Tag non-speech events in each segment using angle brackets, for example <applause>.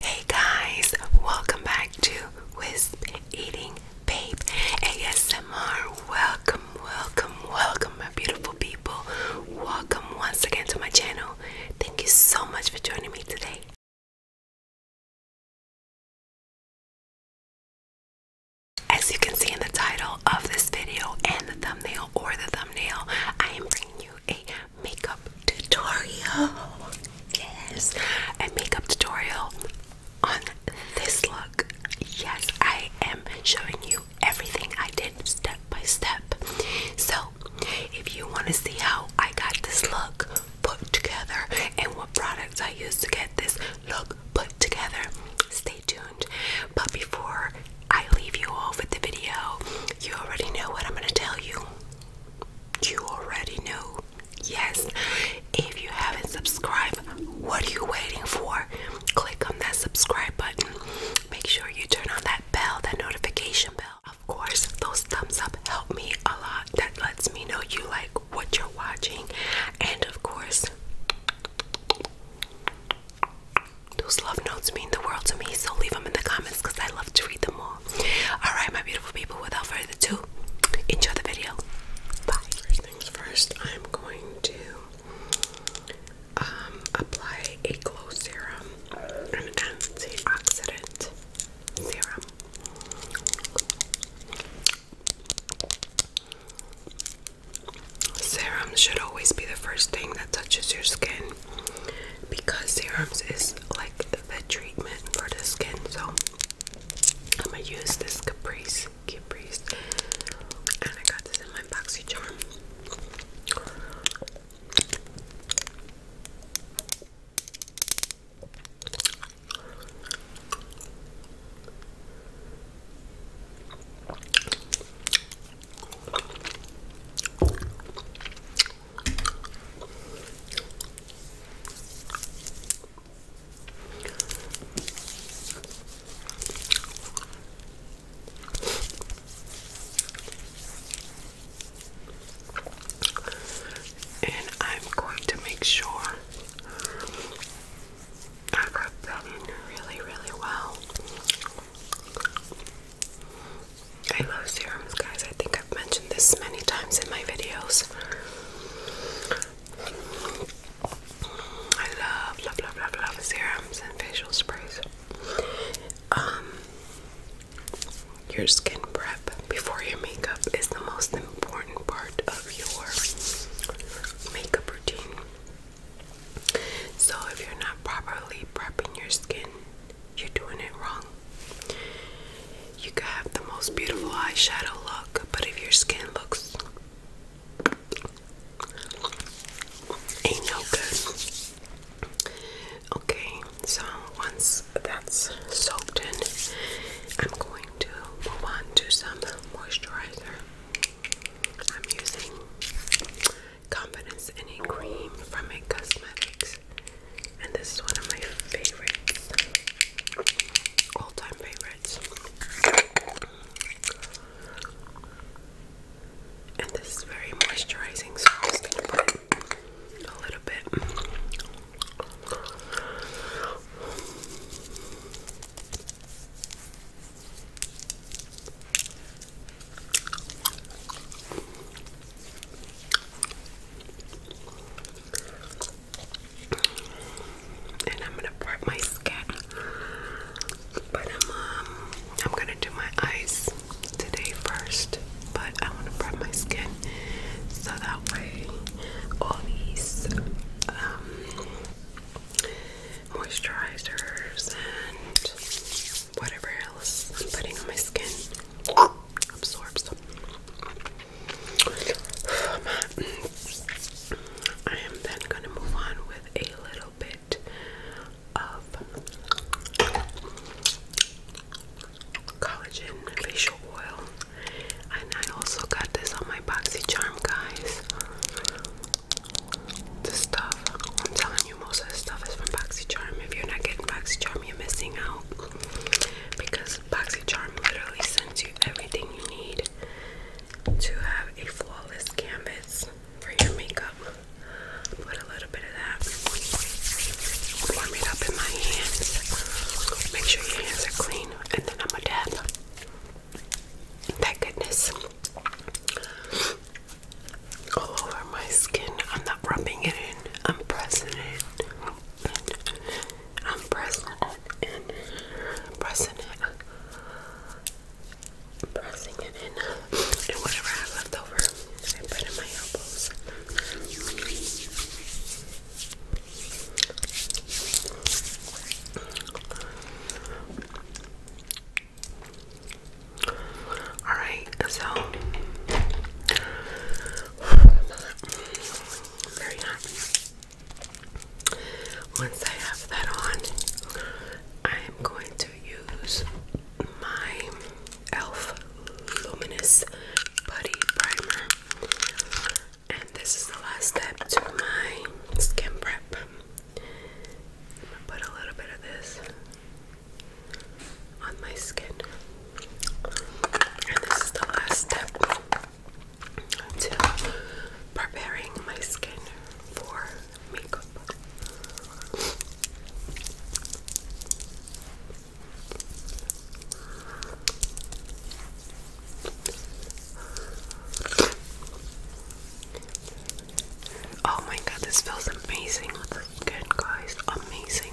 Hey guys, welcome back to Wisp Eating Babe ASMR. Welcome, welcome, welcome, my beautiful people. Welcome once again to my channel. Thank you so much for joining me today. As you can see in the title of this video and the thumbnail or the thumbnail, I am bringing you a makeup tutorial. Yes, a makeup tutorial on this look. Yes, I am showing you everything I did step by step. So, if you want to see how I got this look put together and what products I used to get this look put together, stay tuned. But before I leave you off with the video, you already know what I'm going to tell you you already know. Yes, if you haven't subscribed, what are you waiting for? Click on that subscribe button. Make sure you turn on that bell, that notification bell. Of course, those thumbs up help me a lot. That lets me know you like what you're watching. And of course, those love notes mean the world to me, so leave them in the comments because I love to read them all. Alright, my beautiful people, without further ado, enjoy the video. Bye. First things first, I'm going to um, apply a glow serum, an antioxidant serum. Serum should always be the first thing that touches your skin because serums is like the treatment for the skin. So I'm gonna use this Caprice, Caprice, and I got this in my boxy charm. And I'm going to make sure I rub that in really, really well. I love serums, guys. I think I've mentioned this many times in my videos. I love, love, love, love, love serums and facial sprays. Um, your skin prep before your makeup is the most important part of your makeup routine. So, if you're not properly prepping your skin you're doing it wrong. You could have the most beautiful eyeshadow look, but if your skin looks ain't no good. Okay, so once that's soaked in, I'm going to move on to some moisturizer. I'm using Confidence in Cream from a Cosmetics and this is one of my favorites, all-time favorites. And this is very moisturizing, so I'm just gonna put a little bit and I'm gonna prep my skin. But I'm um, I'm gonna do my eyes today first. But I wanna part my skin so that way all these um, moisturizers and whatever else I'm putting on my skin absorbs. I am then going to move on with a little bit of collagen facial oil. And I also got this on my boxy charm, guys. This stuff, I'm telling you, most of this stuff is from BoxyCharm. If you're not getting BoxyCharm, you're missing out. Because BoxyCharm literally sends you everything you need to have a flawless canvas for your makeup. Put a little bit of that, warm it up in my hands. Make sure your hands are clean, and then I'm a dab. Thank goodness. All over my skin. I'm not rubbing it in. I'm pressing it. I'm pressing it and pressing it, pressing it in, and uh, whatever I have left over, I put in my elbows. All right, so very happy. Once I have that on, I am going to use my e.l.f. Luminous Putty Primer. And this is the last step to my skin prep. put a little bit of this on my skin. And this is the last step. I'm preparing my skin for makeup. Oh my god, this feels amazing with the skin, guys. Amazing.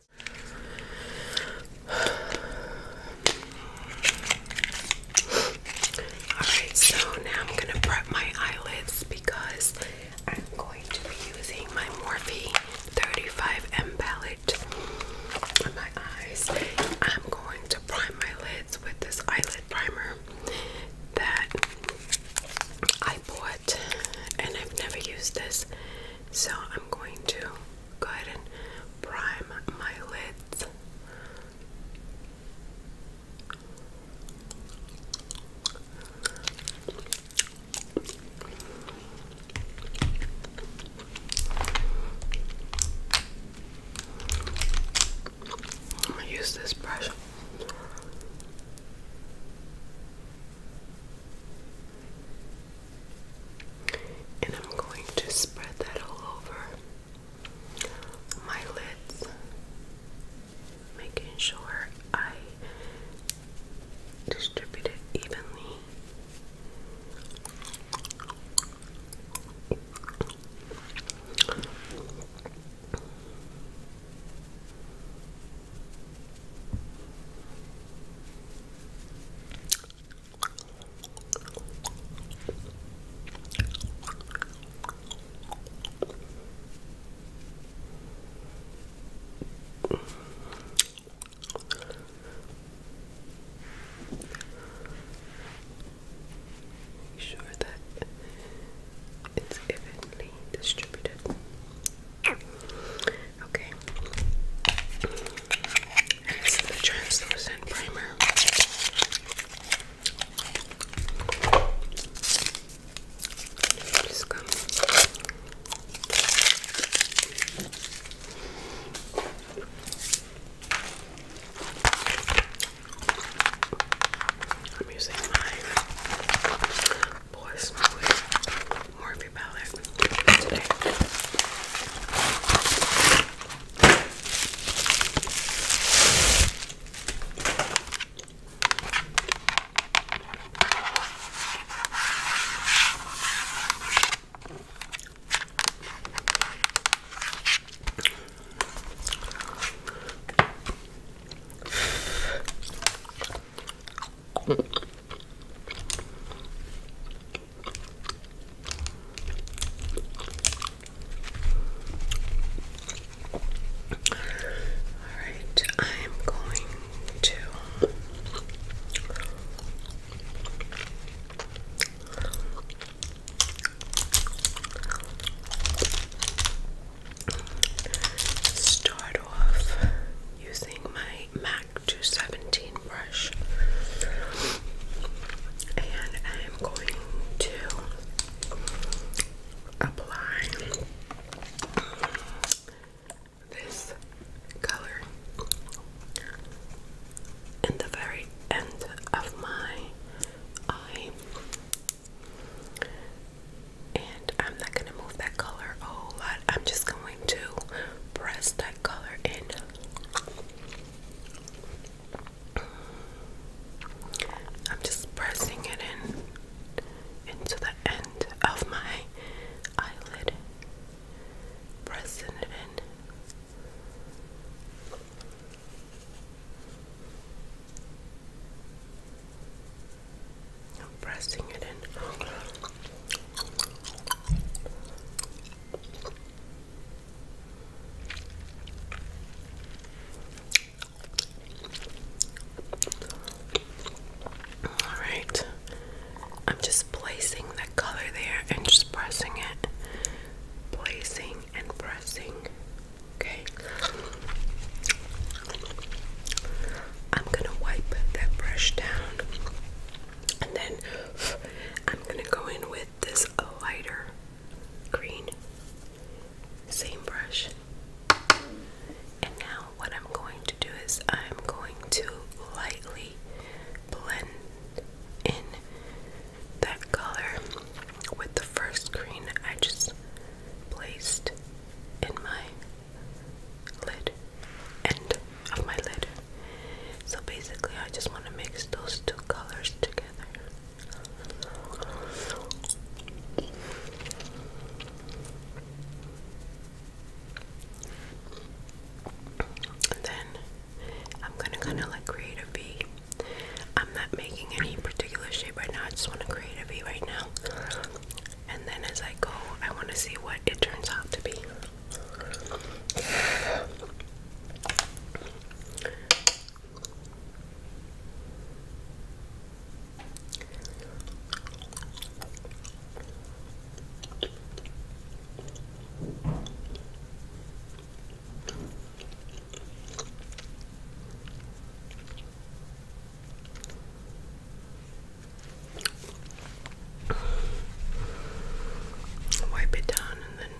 Alright, so now I'm going to prep my eyelids because I'm going to be using my Morphe 35M palette on my eyes. I'm going to prime my lids with this eyelid primer that I bought and I've never used this. So I'm going to go ahead and prime my lids. I'm gonna use this brush and I'm going to spread that all over my lids, making sure I distribute it evenly. Make sure that it's evenly distributed. Okay. And this the translucent primer. I'm using my boy smooth more of your palette today. Alright, I'm going to start off using my MAC 217 brush. And I am going to apply this color in the very end of my eye. And I'm not going to move that color a whole lot. I'm just going to press that color in. I'm just pressing it in into the end of my eyelid. Pressing it in. pressing it in. All right. I'm just placing the color there and just pressing it. Placing and pressing. Okay. I'm going to wipe that brush down and then <sighs> I'm gonna go in with this lighter green, same brush. And now, what I'm going to do is I'm going to lightly blend in that color with the first green I just placed in my lid, end of my lid. So basically, I just want to mix those two colors together. then I'm gonna kind of like create a V. I'm not making any particular shape right now, I just want to create a V right now. And then as I go, I want to see what it turns out to be. Wipe it down and then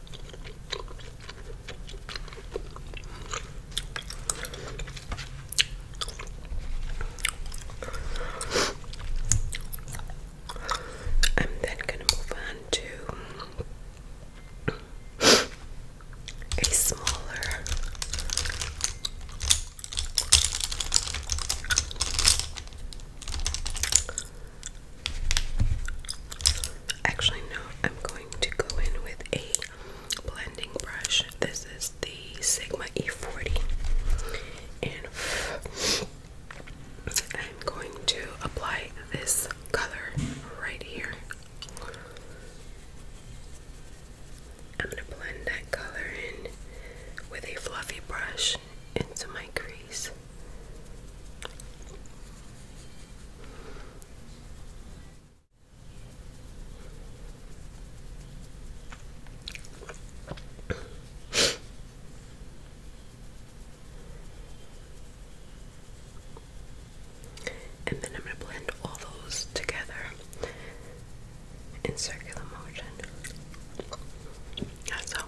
I'm then gonna move on to a smaller Actually no, I'm going to go in with a blending brush. This is the Sigma E40. And I'm going to apply this color right here. I'm going to blend that color in with a fluffy brush into my crease. And then I'm going to blend all those together in circular motion. That's all.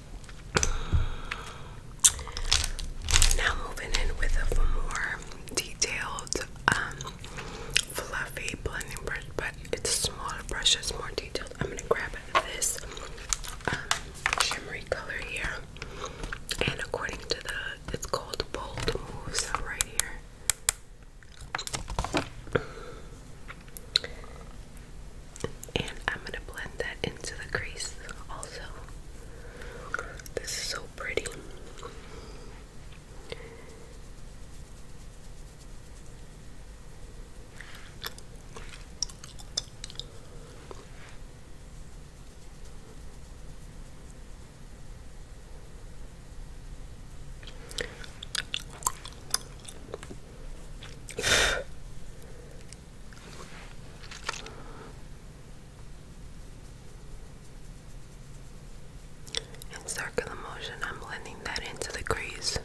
Now moving in with a more detailed, um, fluffy blending brush, but it's smaller brush, it's more detailed. I'm gonna grab this um, shimmery color here, and according to the, it's called Bold Moves right here and I'm gonna blend that into the crease also. This is so pretty. In circular motion, I'm blending that into the crease.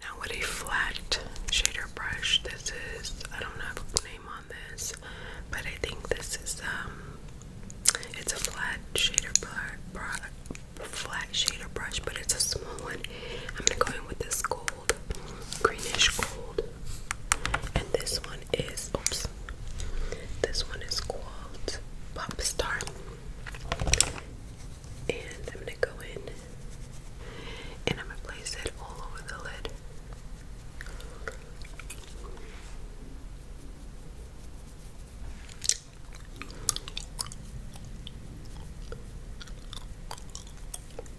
Now, with a flat shader brush, this is, I don't have a name on this, but I think this is, um, it's a flat shader brush, flat shader brush, but it's a small one. I'm gonna go in with this gold greenish gold. And this one is, oops, this one is called Pop Star. And I'm gonna go in and I'm gonna place it all over the lid.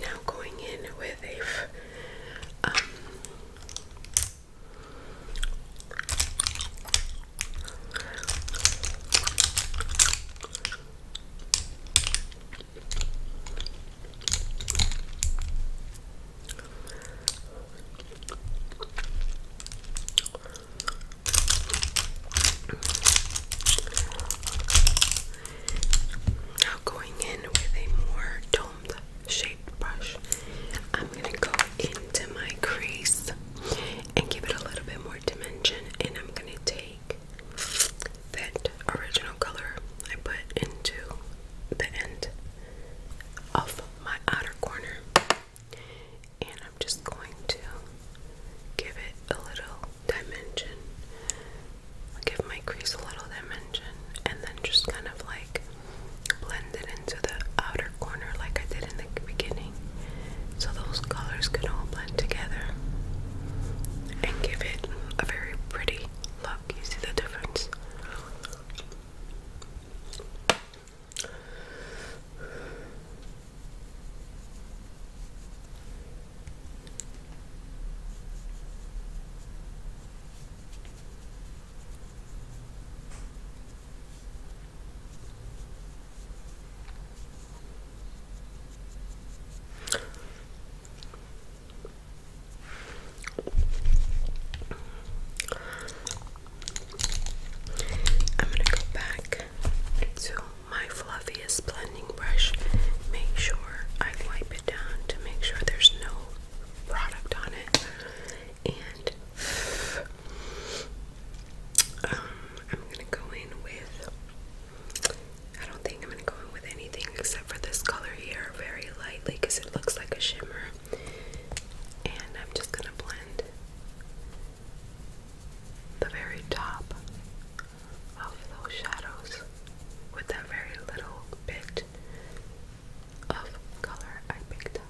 Now going in with a um, now going in with a more domed shaped brush, I'm gonna go into my crease and give it a little bit more dimension and I'm gonna take that original color I put into the end of my outer corner and I'm just going to give it a little dimension. give my crease a little dimension and then just kind of like blend it into the outer corner like I did in the beginning so those colors can all blend together and give it a very pretty look. You see the difference? I'm going to go back to my fluffiest blending brush, make sure I wipe it down to make sure there's no product on it. And <sighs> um, I'm gonna go in with. I don't think I'm gonna go in with anything except for this color here, very lightly, because it looks like a shimmer. And I'm just gonna blend the very top of those shadows with that very little bit of color I picked up.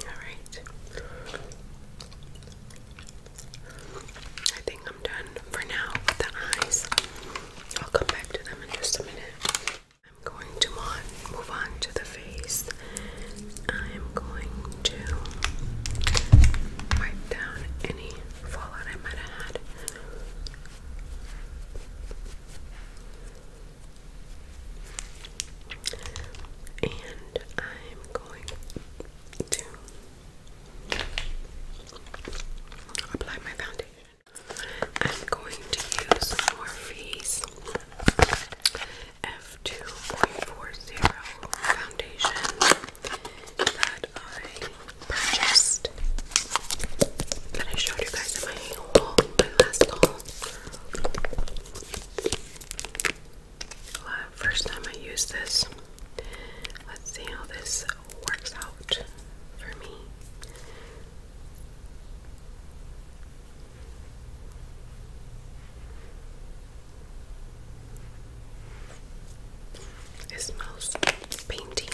All right. I think I'm done for now with the eyes. I'll come back to them in just a minute. I'm going to move on to the face. I am going to wipe down any fallout I might have had. And I'm going to apply my foundation. I'm going to use Morphe's F2.40 foundation that I purchased that I showed you guys in my haul, last haul. Uh, first time I used this. Let's see how this works out for me. It smells painty.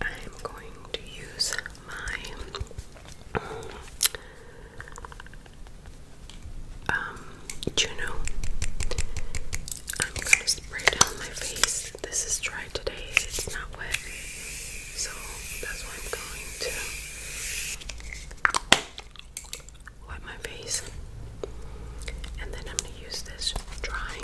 I'm going to use my um, Juno. I'm gonna spray down my face. This is dry today, it's not wet. So that's why I'm going to wipe my face. And then I'm going to use this dry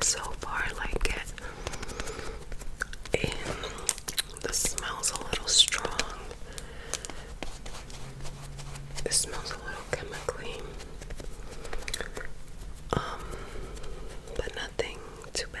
so far, I like it. the smell's a little strong. This smells a little chemically, um, but nothing too bad.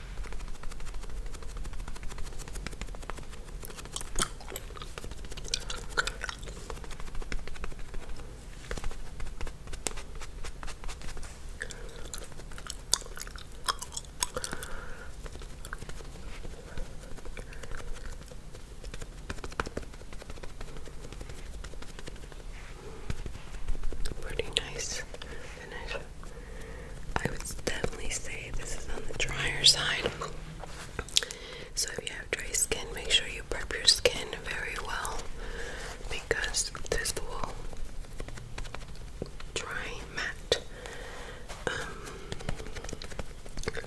Pretty nice I would definitely say this is on the drier side. So if you have dry skin, make sure you prep your skin very well because this will dry matte. Um,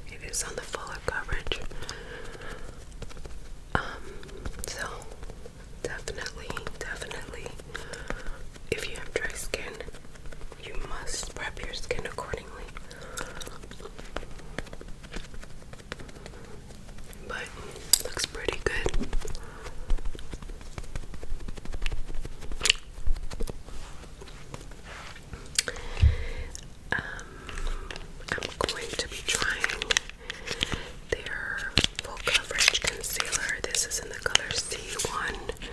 it is on the fuller coverage. Um, so Definitely, definitely. If you have dry skin, you must prep your skin accordingly. But looks pretty good. Um, I'm going to be trying their coverage concealer. This is in the color C1.35.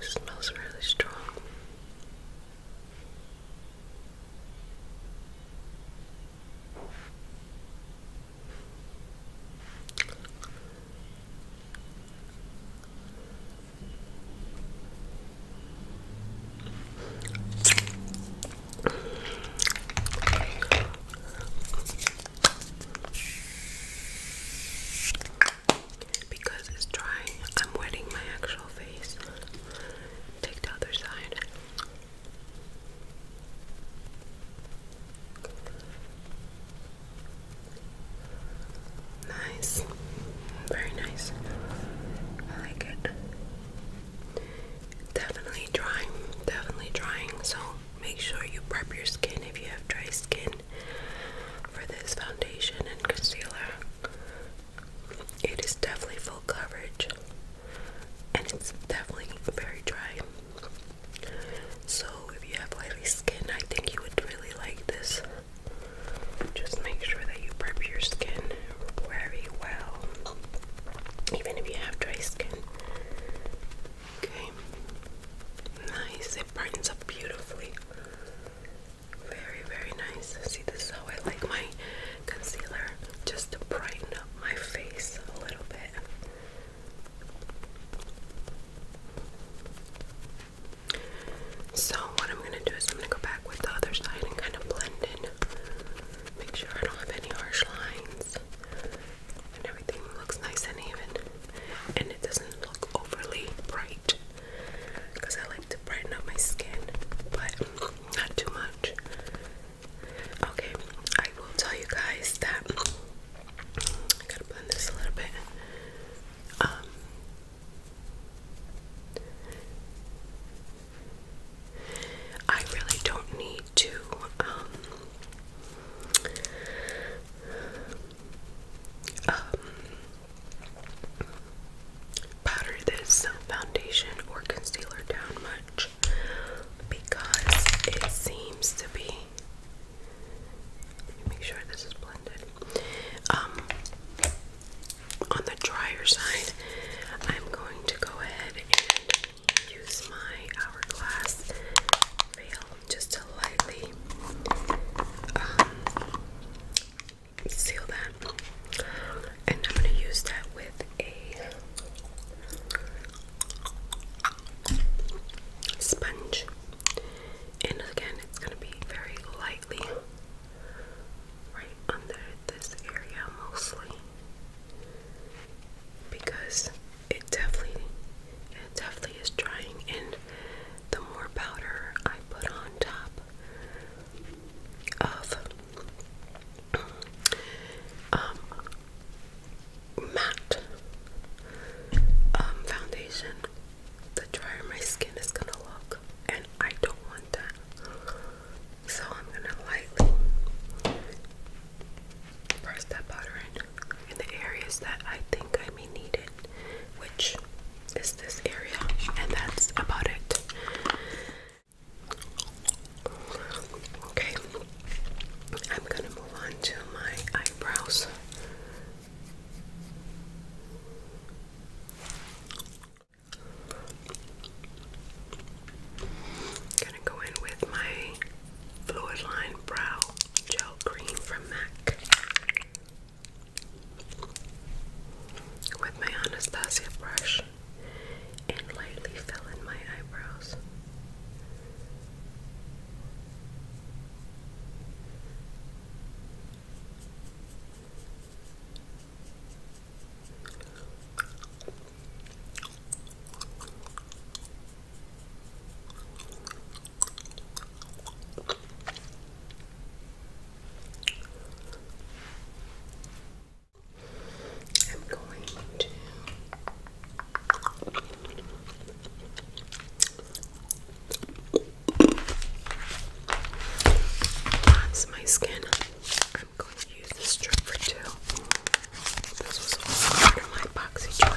smells really strong. Because it's dry, I'm wetting my actual face. Take the other side. Nice, very nice. I like it. Definitely drying, definitely drying. So make sure you prep your skin if you have dry skin for this foundation and concealer. It is definitely full coverage and it's definitely very dry. So if you have oily skin, I think you would really like this. Just make sure that you prep your skin very well, even if you have dry skin. Okay, nice. It brightens up beautifully. Very, very nice. See, this is how I like my concealer, just to brighten up my face a little bit. So what I'm going to do is I'm going to go back with the other side and kind of blend in. Make sure I don't have any harsh lines. And everything looks nice and even. And it doesn't look overly bright. Because I like to brighten up my skin. But not too much. Okay, I will tell you guys that I gotta blend this a little bit. Um, I really don't need to um, um, powder this foundation or concealer down much because it seems to be. Let me make sure this is blended. Um, on the drier side, I'm going to go ahead and use my hourglass veil just to lightly um, seal that, and I'm going to use that with a sponge, and again, it's going to be very lightly right under this area mostly because it definitely it definitely is drying and the more powder I put on top of um, matte um, foundation, the drier my skin is gonna look, and I don't want that. So I'm gonna lightly press that powder in in the areas that I think I may need it, which is this area, and that's about it. Okay, I'm gonna move on to my eyebrows. Gonna go in with my Fluid Line Brow Gel Cream from MAC. With my Anastasia brush and lightly fill in my eyebrows. I'm going to that's my skin. I'm going to use this strip for two. This was also part my boxy charm.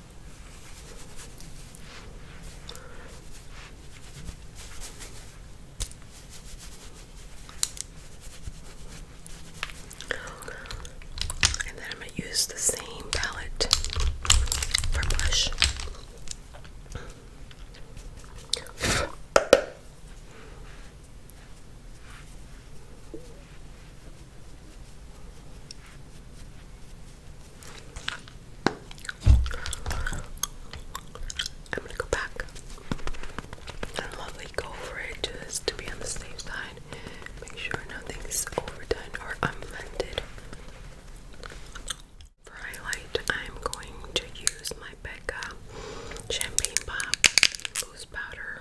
And then I'm going to use the same palette for blush. I'm gonna go back and to go for it just to be on the safe side. Make sure nothing's overdone or unblended. For highlight, I'm going to use my Becca Champagne Pop loose powder.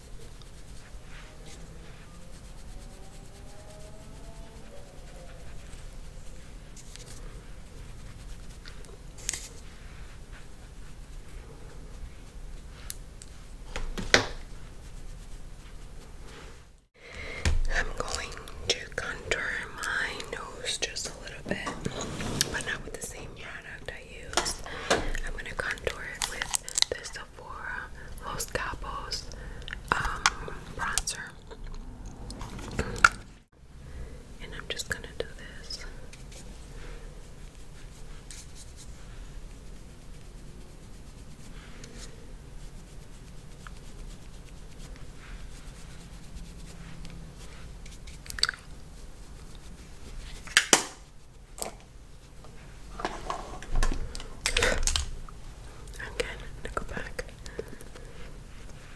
I'm going to contour my nose just a little bit, but not with the same product. I am gonna contour it with the Sephora Los Capos um, bronzer. And I'm just gonna do this. Again, I'm gonna go back.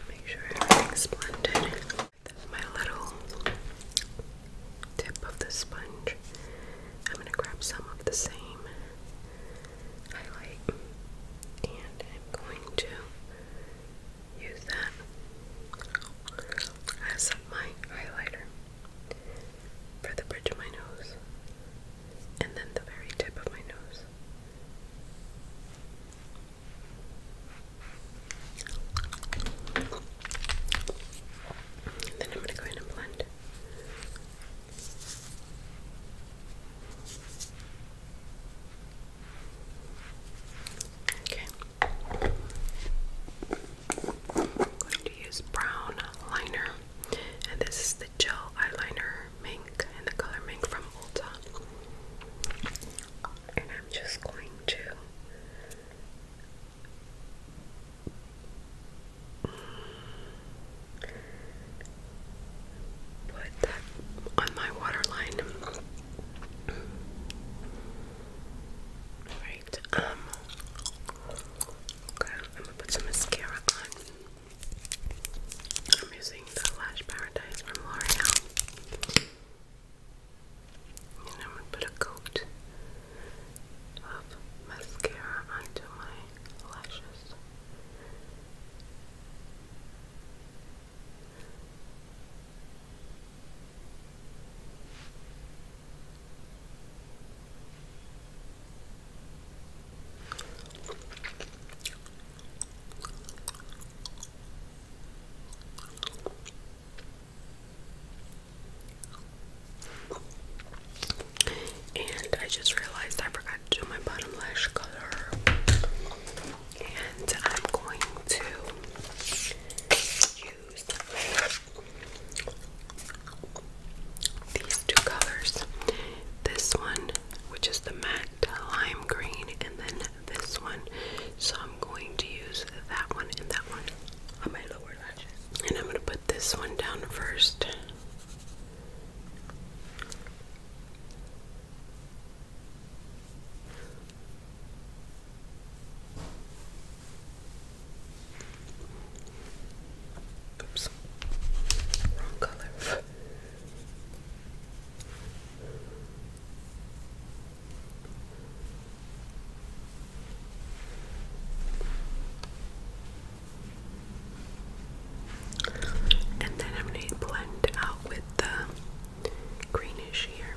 Make sure everything's blended. That's my little tip of the sponge. I'm gonna grab some of the same highlight and I'm going to use that as my highlighter for the bridge of my nose, and then the very tip of my nose. then I'm going to go in and blend. Okay, I'm going to use brown liner, and this is the gel eyeliner mink in the color mink from Ulta. And I'm just going to mm, put that on my waterline. All right. Um, Okay, I'm gonna put some mascara on. I'm using the Lash Paradise from L'Oreal. And I'm gonna put a coat of mascara onto my lashes. And I just realized I forgot to do my bottom lash color. And I'm going to use these two colors. This one, which is the matte lime green, and then this one. So I'm going to use that one and that one on my lower lashes. And I'm going to put this one down first. Oops. Wrong color. And then I'm going to blend out with the greenish here.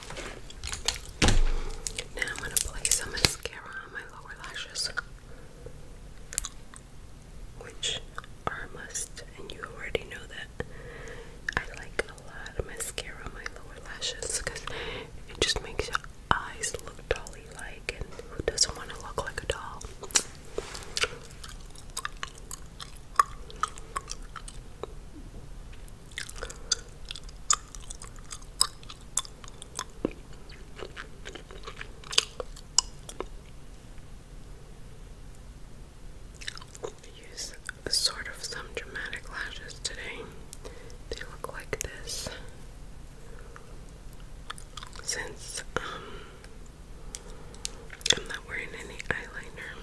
Now I'm gonna place some mascara on my lower lashes, which are a must, and you already know that. I like a lot of mascara on my lower lashes because it just makes eyes look dolly like, and who doesn't want to look like a doll? Use sort of some dramatic lashes today. They look like this. Since um, I'm not wearing any eyeliner,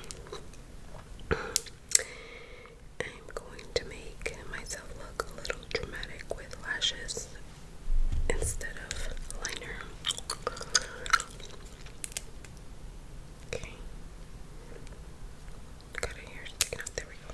I'm going to make myself look a little dramatic with lashes instead of liner. Okay. Got a hair sticking out. There we go.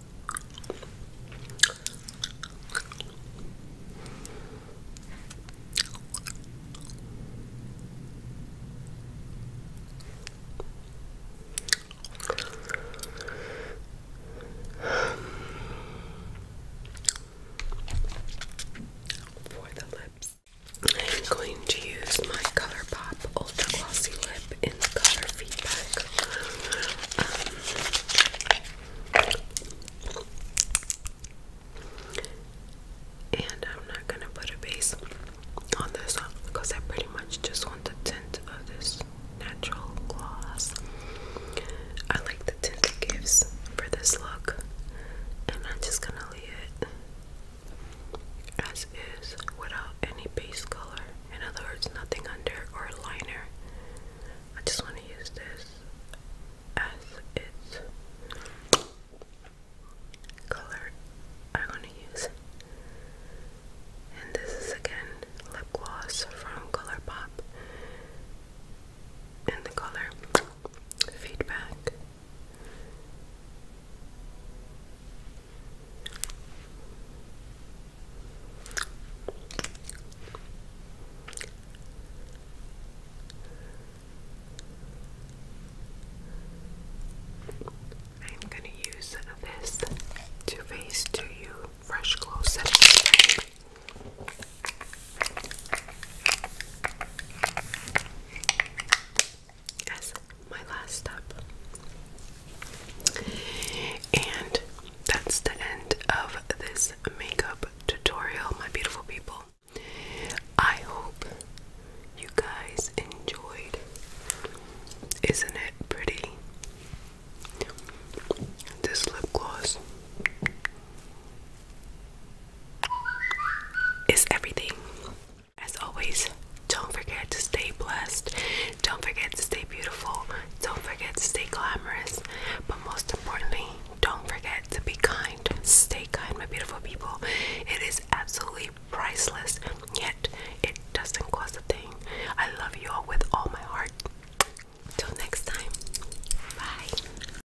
For the lips, I'm going to use my Color Pop Ultra Glossy Lip in the color feedback. Um, and I'm not gonna put a base on this one because I pretty much just want the tint of this natural gloss. I like the tint it gives for this look, and I'm just gonna leave it as is without any base color. In other words, nothing under or liner. I just want to use this as its color. I want to use, and this is again lip gloss from ColourPop in the color Feedback. I'm going to use this Too Faced To You Fresh Glow Setting Spray. my last step, and that's the end of this makeup tutorial, my beautiful people. I hope you guys enjoyed. Isn't it pretty? This lip gloss is everything. As always, don't forget to stay blessed. Don't forget to stay beautiful. Don't forget to stay glamorous. But most importantly, don't forget to be kind. Stay kind, my beautiful people. It is absolutely priceless, yet it doesn't cost a thing. I love you all with all my heart. Till next time, bye.